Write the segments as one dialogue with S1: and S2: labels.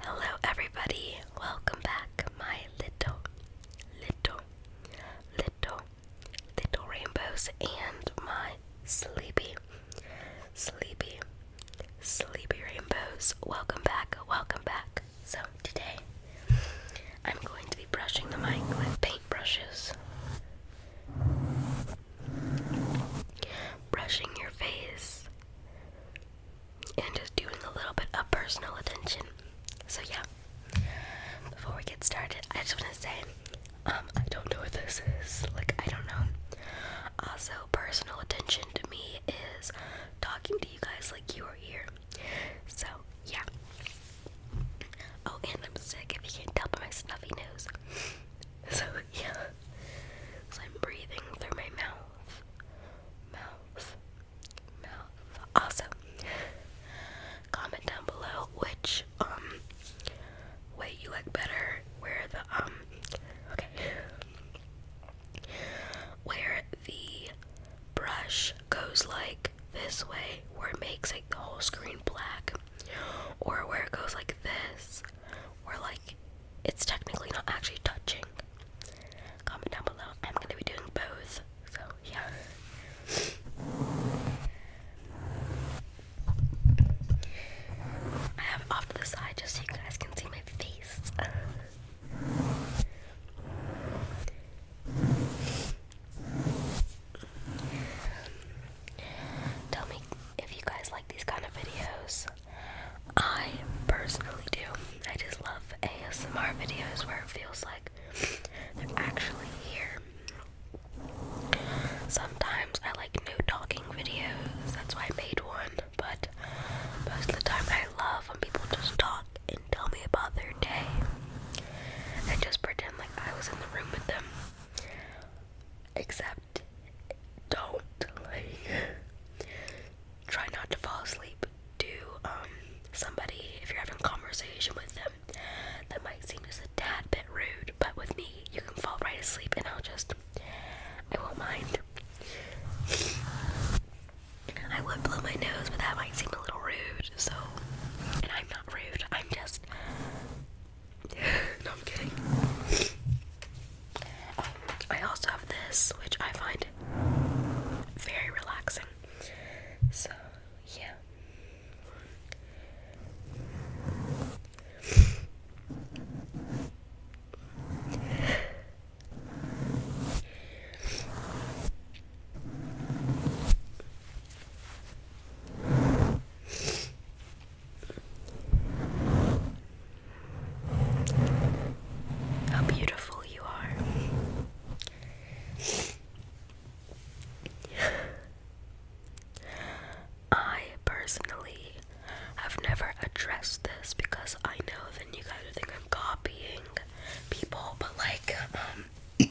S1: Hello, everybody. Welcome back, my little, little, little, little rainbows, and my sleepy, sleepy, sleepy rainbows. Welcome back, welcome back. So, today I'm going to be brushing the mic with paintbrushes. Brushing your face and just doing a little bit of personal attention. So yeah, before we get started, I just want to say, um, I don't know what this is. Like, I don't know. Also, personal attention to me is talking to you guys like you are here. So yeah. Oh, and I'm sick. If you can't tell by my snuffy nose. So yeah. So I'm breathing through my mouth mouth, mouth. Also, comment down below which um way you like better. Where the um okay, where the brush goes like this way, where it makes like the whole screen black, or where it goes like this, where like it's technically not actually touching Comment down below. I'm gonna be doing both. So yeah. I have off to the side just so you guys can see my face. Tell me if you guys like these kind of videos. I personally do. I just love ASMR videos where it feels like they're actually here. Sometimes I like new talking videos, that's why I made one, but most of the time I love when people just talk and tell me about their day and just pretend like I was in the room with them. Except, don't. Like, try not to fall asleep to um, somebody if you're having conversation with them that might seem just a tad bit rude but with me you can fall right asleep and I'll just I won't mind I would blow my nose but that might seem a little rude so and I'm not rude I'm just no I'm kidding I also have this, which I find very relaxing. So, yeah. How beautiful you are. I personally have never addressed this because I know that you guys think I'm copying people, but like, um,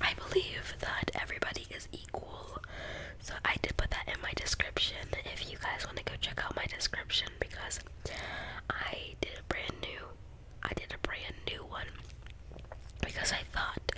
S1: I believe that everybody is equal. So I did put that in my description if you you guys want to go check out my description because I did a brand new I did a brand new one because I thought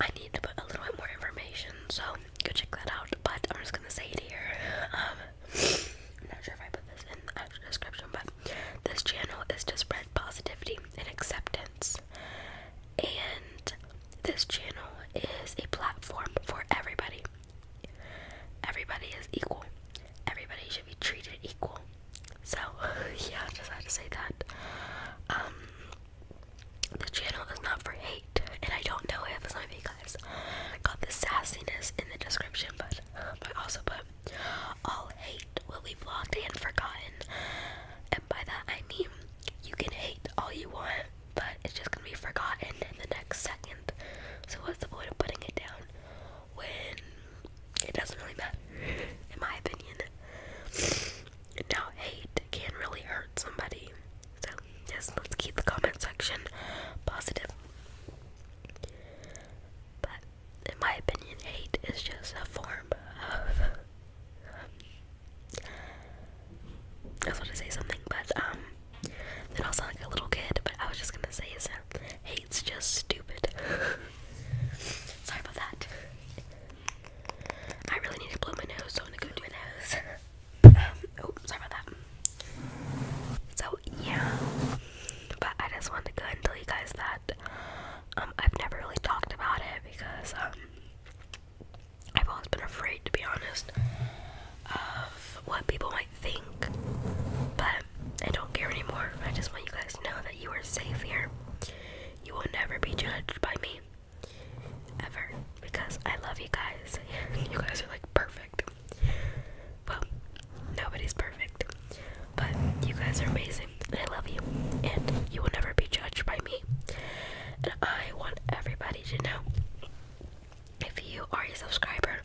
S1: I need to put a little bit more information, so go check that out. But I'm just gonna say it here. Um, I'm not sure if I put this in the actual description, but this channel is to spread positivity and acceptance, and this channel is a platform for everybody everybody is equal. Everybody should be treated equal. So, yeah, just had to say that. Um, the channel is not for hate, and I don't know if some of you guys got the sassiness in the description, but I also put all hate will be blocked and forgotten. And by that I mean you can hate all you want, but it's just gonna be forgotten in the next second. So what's the point of putting it down when it doesn't really matter, in my opinion? Now hate can really hurt somebody. So yes, let's keep the comment section positive. But in my opinion, hate is just a form of. I was to say something, but um, then i sound like a little kid, but I was just gonna say is hate's just stupid. Sorry about that. I really need to blow my nose, so I'm gonna go do my nose. Um, oh, sorry about that. So yeah, but I just wanted to go and tell you guys that um I've never really talked about it because um I've always been afraid, to be honest, of what people might think. But I don't care anymore. I just want you guys know that you are safe here. You will never be judged by me. Ever. Because I love you guys. you guys are like perfect. Well, nobody's perfect. But you guys are amazing. I love you. And you will never be judged by me. And I want everybody to know if you are a subscriber,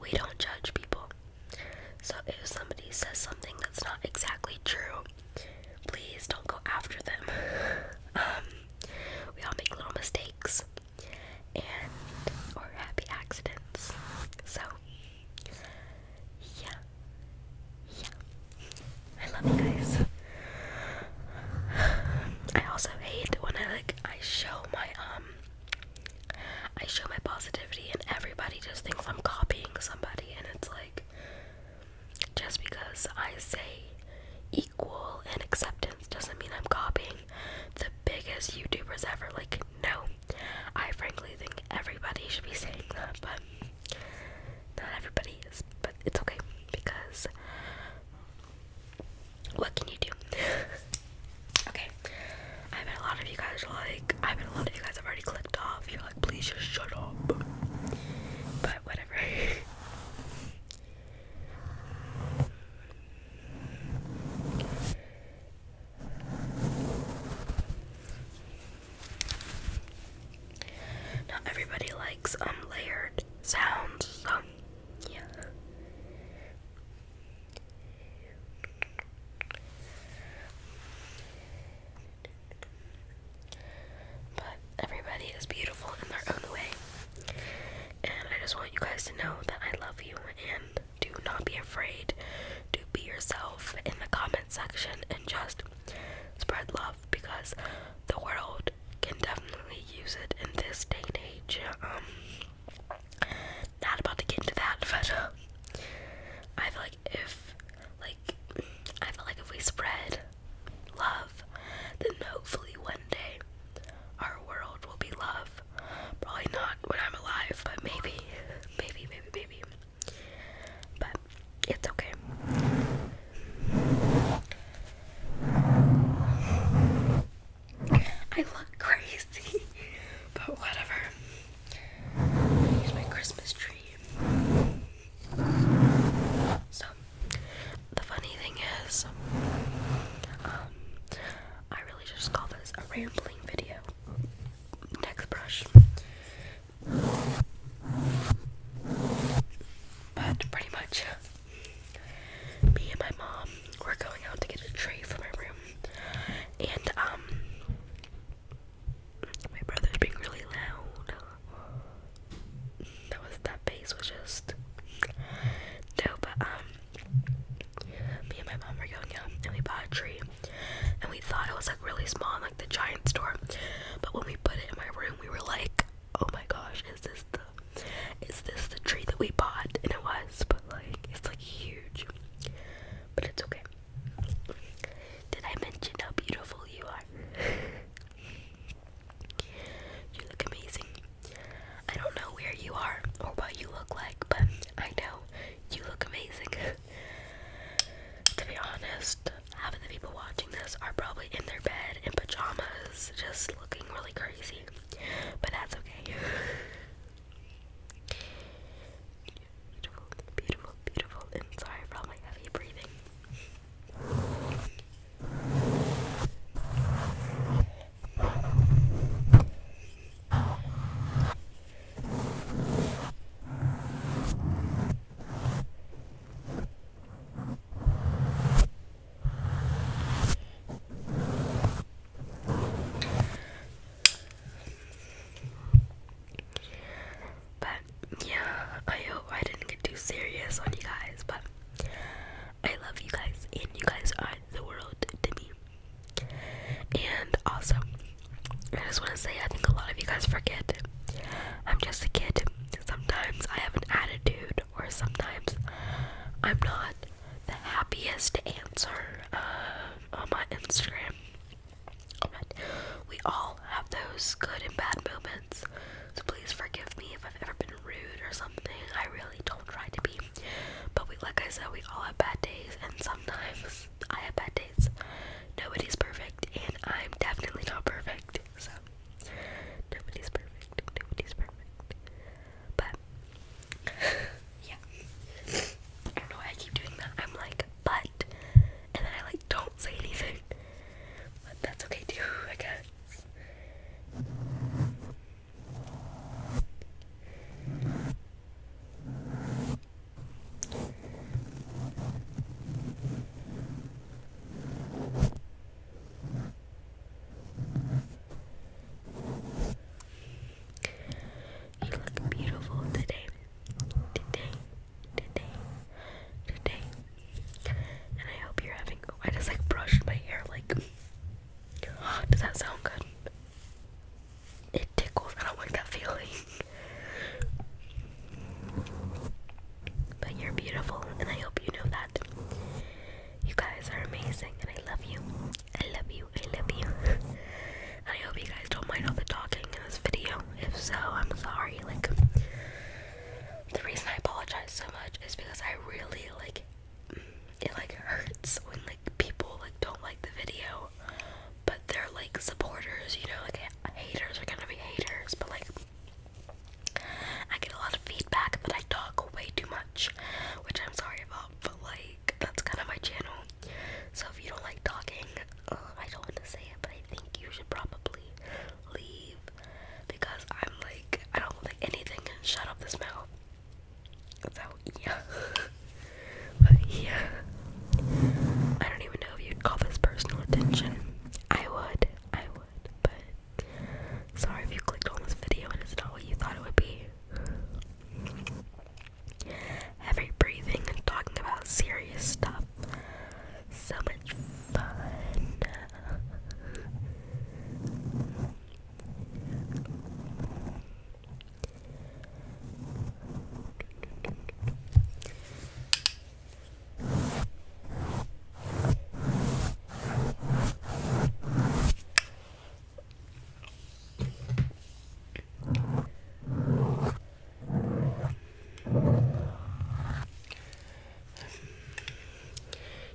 S1: we don't judge people. So if somebody says something that's not exactly true, please don't go after them. um, we all make little mistakes and or happy accidents. So yeah. Yeah. I love you guys. I also hate when I like I show my um I show my positivity and everybody just thinks I'm copying somebody and it's like just because I say equal and acceptance doesn't mean I'm copying the biggest YouTubers ever. Like no. I frankly think everybody should be saying that, but not everybody is, but it's okay because what can you do? okay, I bet a lot of you guys are like, I bet a lot of you guys have already clicked off. You're like, please just shut up. But whatever. Not everybody likes um, layered sounds, so yeah. But everybody is beautiful in their own way. And I just want you guys to know that I love you and do not be afraid to be yourself in the comment section and just spread love because the world can definitely use it in this day and age. Um, not about to get into that, but I feel like if, like, I feel like if we spread love, then hopefully one day our world will be love. Probably not when I'm alive, but maybe, maybe, maybe, maybe. But it's okay. I look crazy, but whatever. Here's my Christmas tree. So, the funny thing is, um, I really just call this a rambling video. Next brush. But pretty much, me and my mom were going out to get a tray for my room, and um, my brother's being really loud. That was that face was just no, but um, me and my mom were going out and we bought a tree, and we thought it was like really small in like the giant store, but when we put it in my room, we were like, oh my gosh, is this the is this the tree that we bought? And it was, but like, it's like huge. But it's okay. Did I mention how beautiful you are? you look amazing. I don't know where you are or what you look like, but I know you look amazing. to be honest, half of the people watching this are probably in their bed in pajamas, just looking really crazy but that's okay. beautiful, beautiful, beautiful. And sorry for my heavy breathing. But yeah, I hope I didn't get too serious on you guys, but I love you guys and you guys are the world to me. And also, I just want to say I think a lot of you guys forget I'm just a kid. Sometimes I have an attitude or sometimes I'm not the happiest answer uh, on my Instagram. we all have those good and bad moments. So please forgive me if I've ever been rude or something. I really don't try to be. But we like I said, we all have bad days and sometimes I have bad days. Nobody's perfect and I'm definitely not perfect so nobody's perfect. Nobody's perfect. But yeah. I don't know why I keep doing that. I'm like, but and then I like don't say anything. But that's okay too, I guess. You look beautiful today. Today. Today. Today. And I hope you're having oh I like brushed my hair like does that sound good? It tickles. I don't like that feeling. But you're beautiful and I hope you know that. You guys are amazing, and I love you. I love you. I love you. I hope you guys don't mind all the talking in this video. If so, I'm sorry. Like, the reason I apologize so much is because I really like it. Like hurts when like people like don't like the video, but they're like supporters. You know, like haters are gonna be haters, but like I get a lot of feedback that I talk way too much, which I'm sorry about, but like that's kind of my channel. So if you don't like talking, um, I don't want to say it, but I think you should probably leave because I'm like I don't like anything can shut up this mouth. So yeah, but yeah, I don't even know if you'd call this personal attention. I would, I would, but Sorry if you clicked on this video and it's not what you thought it would be. Heavy breathing and talking about serious stuff. So much fun.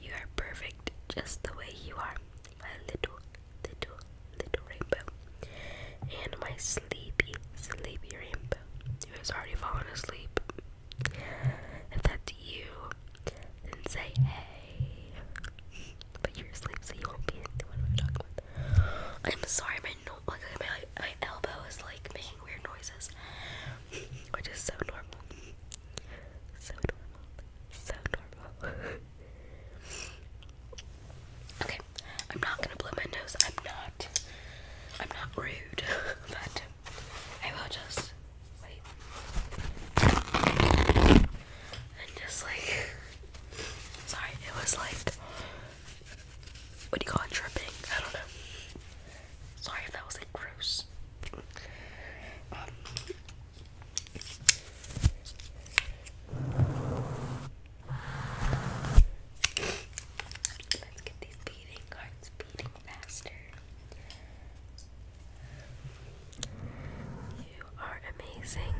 S1: You are perfect just the way you are, my little, little, little rainbow. And my sleepy, sleepy rainbow who has already fallen asleep. If that's you, then say hey. But you're asleep, so you won't be into I'm talking about. I'm sorry, my no my my elbow is like making weird noises, which is so normal. So normal. So normal. okay, I'm not gonna blow my nose. I'm not. I'm not rude, but I will just wait and just like sorry, it was like what do you call it dripping? I don't know. Sorry if that was like gross. Um, let's get these beating cards beating. Master. You are amazing.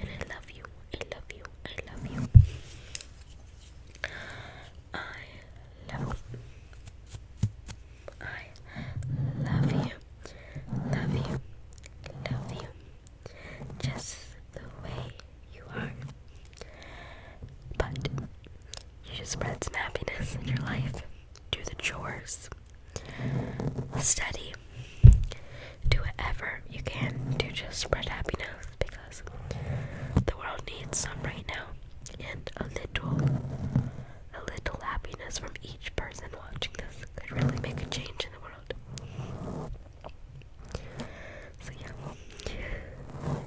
S1: And I love you. I love you. I love you. I love I love you. Love you. Love you. Just the way you are. But you should spread some happiness in your life. Do the chores. Study. Do whatever you can to just spread happiness because the world needs some right now. And a little, a little happiness from each person watching this could really make a change in the world. So yeah.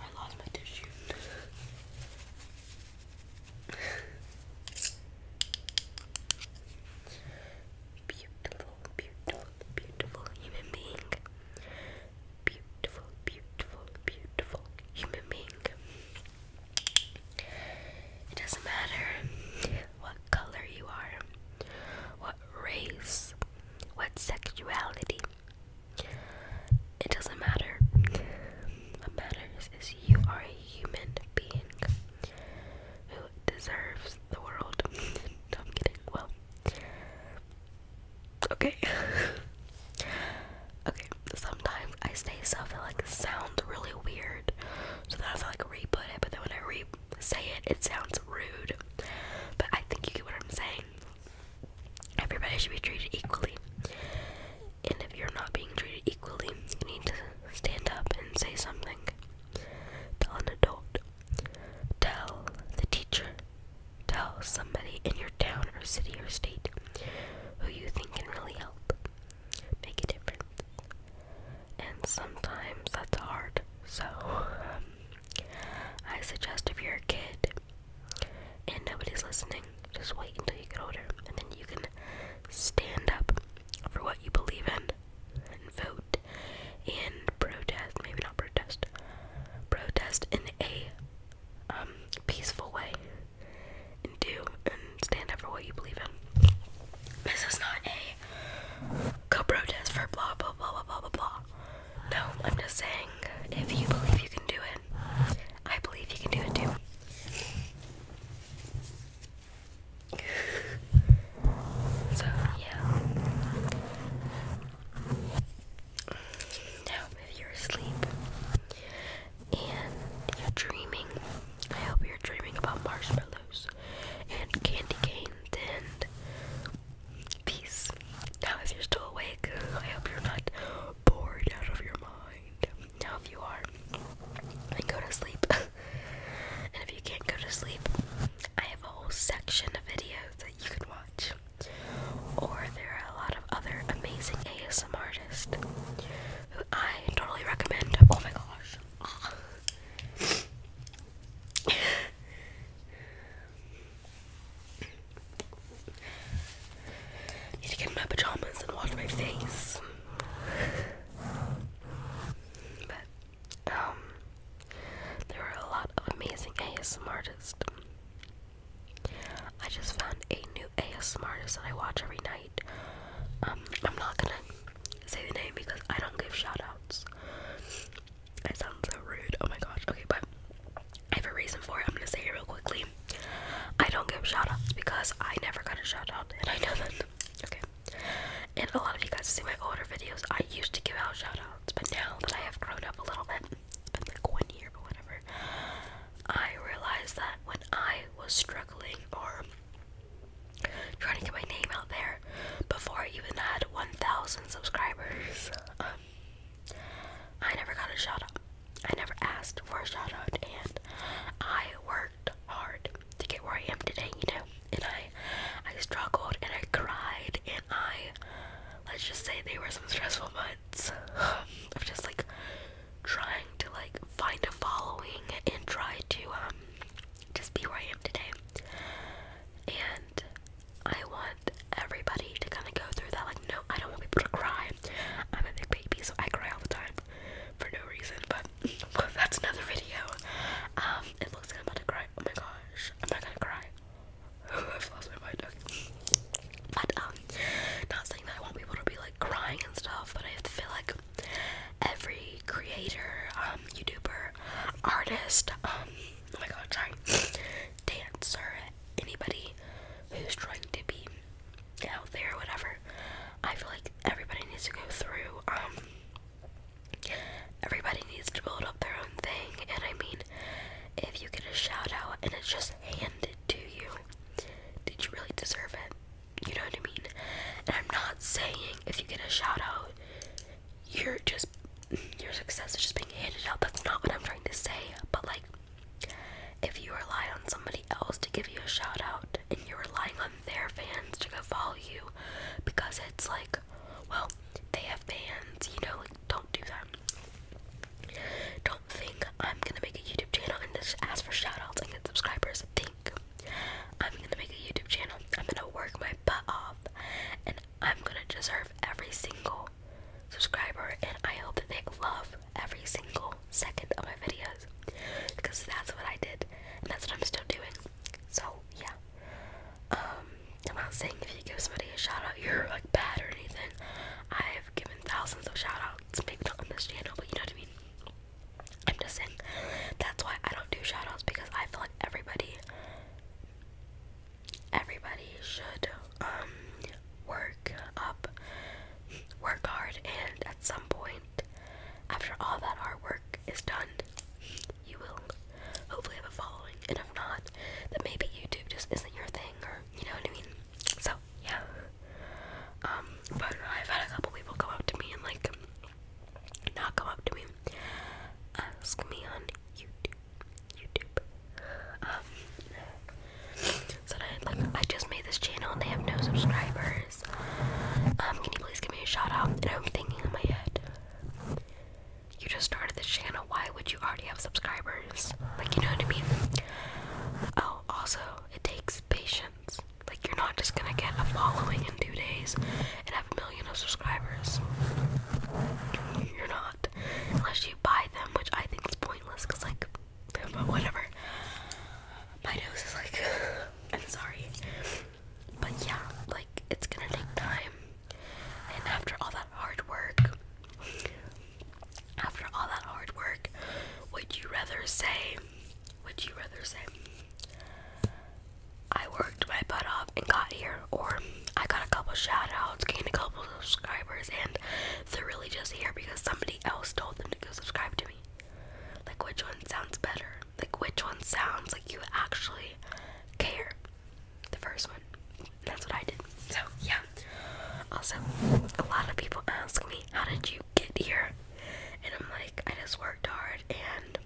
S1: I lost my tissue. beautiful, beautiful, beautiful human being. Beautiful, beautiful, beautiful human being. It doesn't matter what color you are, what race, what sexuality. It doesn't matter. What matters is you are a human being who deserves the world. I'm kidding. Well, okay. okay, sometimes I say stuff that like sounds really weird, so then I have to like re put it, but then when I re say it, it sounds rude. But I think you get what I'm saying. Everybody should be treated equally. And if you're not being treated equally, you need to stand up and say something. Tell an adult. Tell the teacher. Tell somebody in your town or city or state who you think can really help. Make a difference. And sometimes that's hard. So, um, I suggest if you're a kid, and nobody's listening, just wait until you get older, and then you can stand up for what you believe in and vote and protest maybe not protest protest in a um, peaceful way and do and stand up for what you believe in this is not a go protest for blah blah blah blah blah blah no, I'm just saying, if you believe you can do it, I believe you can do it too. so, yeah. Now, if you're asleep and you're dreaming, I hope you're dreaming about marshmallows and candy canes and peace. Now, if you're still awake, I hope you're not bored out of your mind. Now, if you are, then go to sleep. and if you can't go to sleep, I have a whole section of videos that you can watch. Or there are a lot of other amazing ASM artists who I totally recommend. Oh my gosh. Need to get in my pajamas and wash my face. But um, there were a lot of amazing ASMR artists. I just found a new ASMR artist that I watch every night. Um, I'm not gonna say the name because I don't give shout outs. sounds so rude. Oh my gosh. Okay, but I have a reason for it. I'm gonna say it real quickly. I don't give shoutouts because I never got a shoutout, and I know that. Okay. And a lot of you guys see my older videos. I used to give out shoutouts, but now that I have grown up a little bit, it's been like one year but whatever, I realized that when I was struggling or trying to get my name out there before I even had 1,000 subscribers, um, I never got a shoutout. I never asked for a shout and I worked hard to get where I am today, you know. And I, I struggled, and I cried, and I, let's just say, they were some stressful months of just like trying to like find a following and try to um just be where I am today. And I want everybody to kind of go through that. Like, no, I don't want people to cry. I'm a big baby, so I cry all the time for no reason. But that's another video. Um, it looks like I'm about to cry. Oh my gosh, am I gonna cry? I've lost my mind. Okay. But um, not saying that I want people to be like crying and stuff, but I have to feel like every creator, um, YouTuber, artist, um, oh my god, sorry, dancer, anybody who's trying to be out there or whatever. I feel like everybody needs to go through, um, everybody needs to build up their own thing. And I mean, if you get a shout out and it's just handed to you, did you really deserve it? You know what I mean? And I'm not saying if you get a shout out, you're just your success is just being handed out. That's not what I'm trying to say, but like if you rely on somebody else to give you a shout out and you're relying on their fans to go follow you because it's like, well, they have fans, you know, like don't do that. Don't think I'm gonna make a YouTube channel and just ask for shout and get subscribers. Think I'm gonna make a YouTube channel, I'm gonna work my butt off, and I'm gonna deserve every single subscriber and I hope that they love every single second of my videos because that's what I did and that's what I'm still doing. So yeah. Um, I'm not saying if you give somebody a shout out you're like bad or anything. I've given thousands of shout outs, maybe not on this channel, but you know what I mean. I'm just saying that's why I don't do shout outs because I feel like everybody everybody should um, work up work hard and at some point after all that hard work is done you will hopefully have a following and if not then maybe YouTube just isn't your thing or you know what I mean so yeah um, but I've had a couple people come up to me and like not come up to me ask me on YouTube YouTube. Um, so I, like, I just made this channel and they have no subscribers. Um, can you please give me a shout out? And I'm thinking in my head, you just started this channel. Why would you already have subscribers? Like, you know what I mean? Oh, also, it takes patience. Like, you're not just gonna get a following in two days and have a million of subscribers. You're not. Unless you buy them, which I think is pointless because like but whatever. My nose is like I'm sorry. But yeah, like it's gonna take time. And after all that hard work after all that hard work, would you rather say would you rather say I worked my butt off and got here or I got a couple shout outs, gained a couple subscribers and they're really just here because somebody else told them to go subscribe to me. Like, which one sounds better? Like, which one sounds like you actually care? The first one. That's what I did. So, yeah. Also, a lot of people ask me, How did you get here? And I'm like, I just worked hard and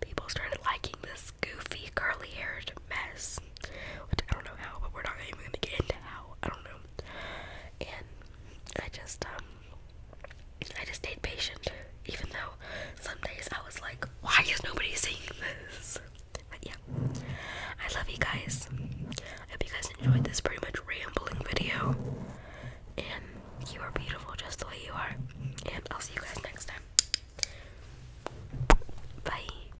S1: people started liking this goofy curly haired mess. Which I don't know how, but we're not even gonna get into how. I don't know. And I just um, I just stayed patient, even though some days I was like, why is nobody seeing this? But yeah. I love you guys. I hope you guys enjoyed this pretty much rambling video. And you are beautiful just the way you are. And I'll see you guys next time. Bye.